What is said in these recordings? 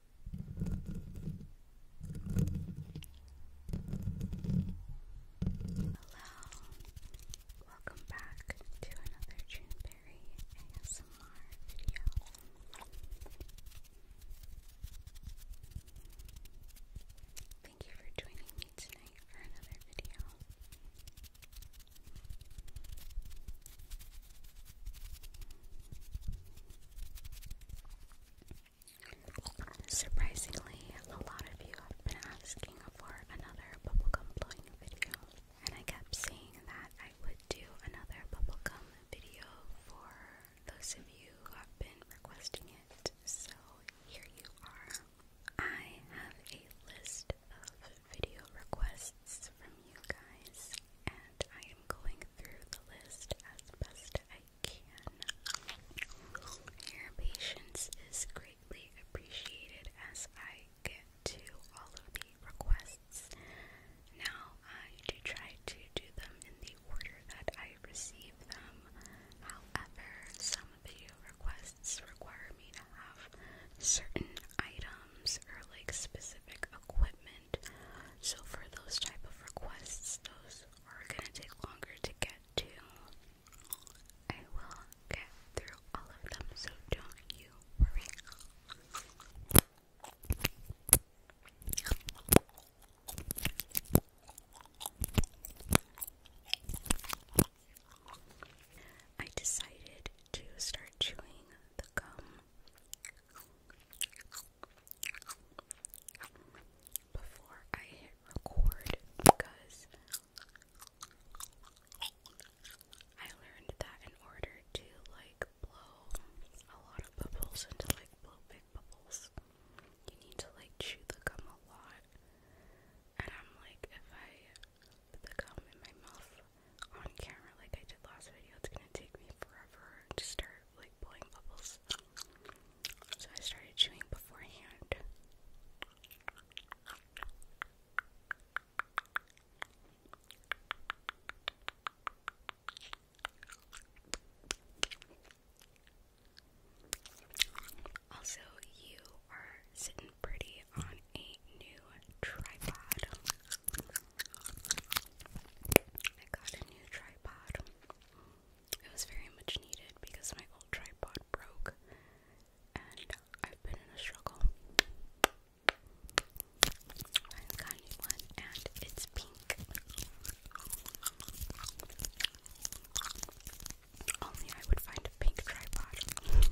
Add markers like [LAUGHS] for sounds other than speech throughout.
Hello, welcome back to another Juneberry ASMR video. Thank you for joining me tonight for another video. Surprisingly, a lot of you have been asking for another bubblegum blowing video, and I kept saying that I would do another bubblegum video for those of you who have been requesting it. So here you are. I have a list of video requests from you guys, and I am going through the list as best I can. Your patience is greatly appreciated as I get to all of the requests. Now, I do try to do them in the order that I receive them. However, some video requests require me to have certain items or like specific equipment. So for those type of requests, those are gonna take longer to get to. I will get through all of them, so don't you worry. I decided to start chewing the gum before I record because I learned that in order to like blow a lot of bubbles and like blow big bubbles, you need to like chew the gum a lot. And I'm like, if I put the gum in my mouth on camera like I did last video. It's gonna take me forever to start like blowing bubbles. So I started chewing beforehand. Also, you are sitting pretty on a new tripod. I got a new tripod. It was very much needed because my old tripod broke and I've been in a struggle. i got a new one and it's pink. Only I would find a pink tripod.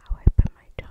How I put my tongue.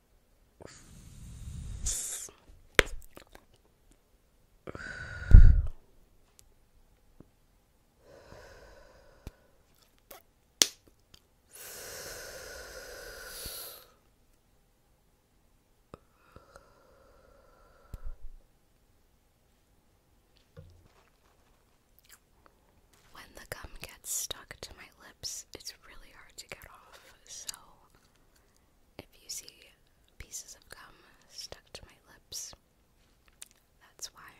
When the gum gets stuck to my lips, it's really hard to get off, so if you see pieces of gum stuck to my lips, that's why.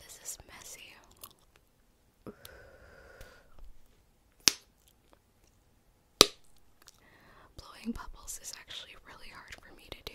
This is messy. Blowing bubbles is actually really hard for me to do.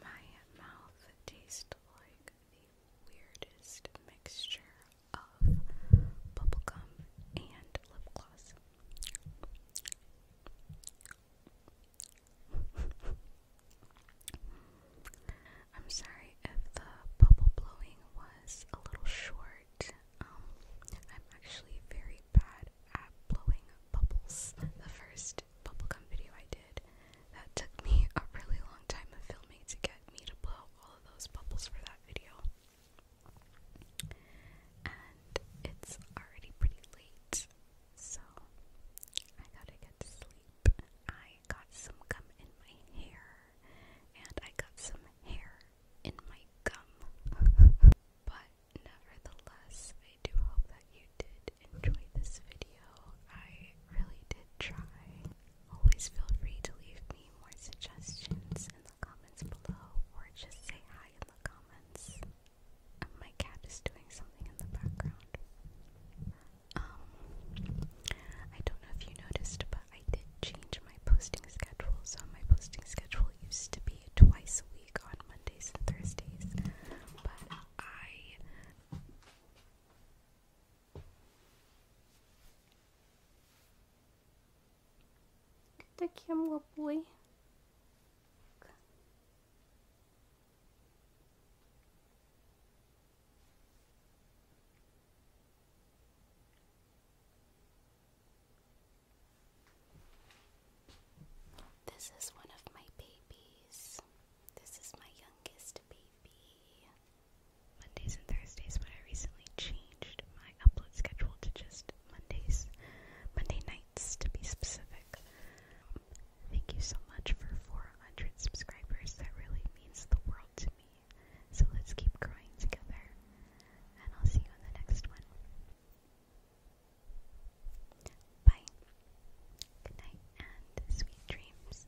My mouth tastes like the weirdest mixture of bubblegum and lip gloss. [LAUGHS] I'm sorry if the bubble blowing was a little short. Um, I'm actually very bad at blowing bubbles. The first bubblegum video I did, that took me a really long time of filming to get me to blow all of those bubbles for that video. And it's already pretty late, so I gotta get to sleep. I I got some gum in my hair, and I got some hair in my gum. [LAUGHS] but nevertheless, I do hope that you did enjoy this video. I really did try. Always feel free to leave me more suggestions in the comments below, or just say hi in the comments. my cat is doing something in the background. Um, I don't know if you noticed, but I did change my posting schedule. So my posting schedule used to be twice a week on Mondays and Thursdays, but I. Good the camera boy. This is one of my babies. This is my youngest baby. Mondays and Thursdays, but I recently changed my upload schedule to just Mondays, Monday nights to be specific. Thank you so much for 400 subscribers. That really means the world to me. So let's keep growing together. And I'll see you in the next one. Bye. Good night and sweet dreams.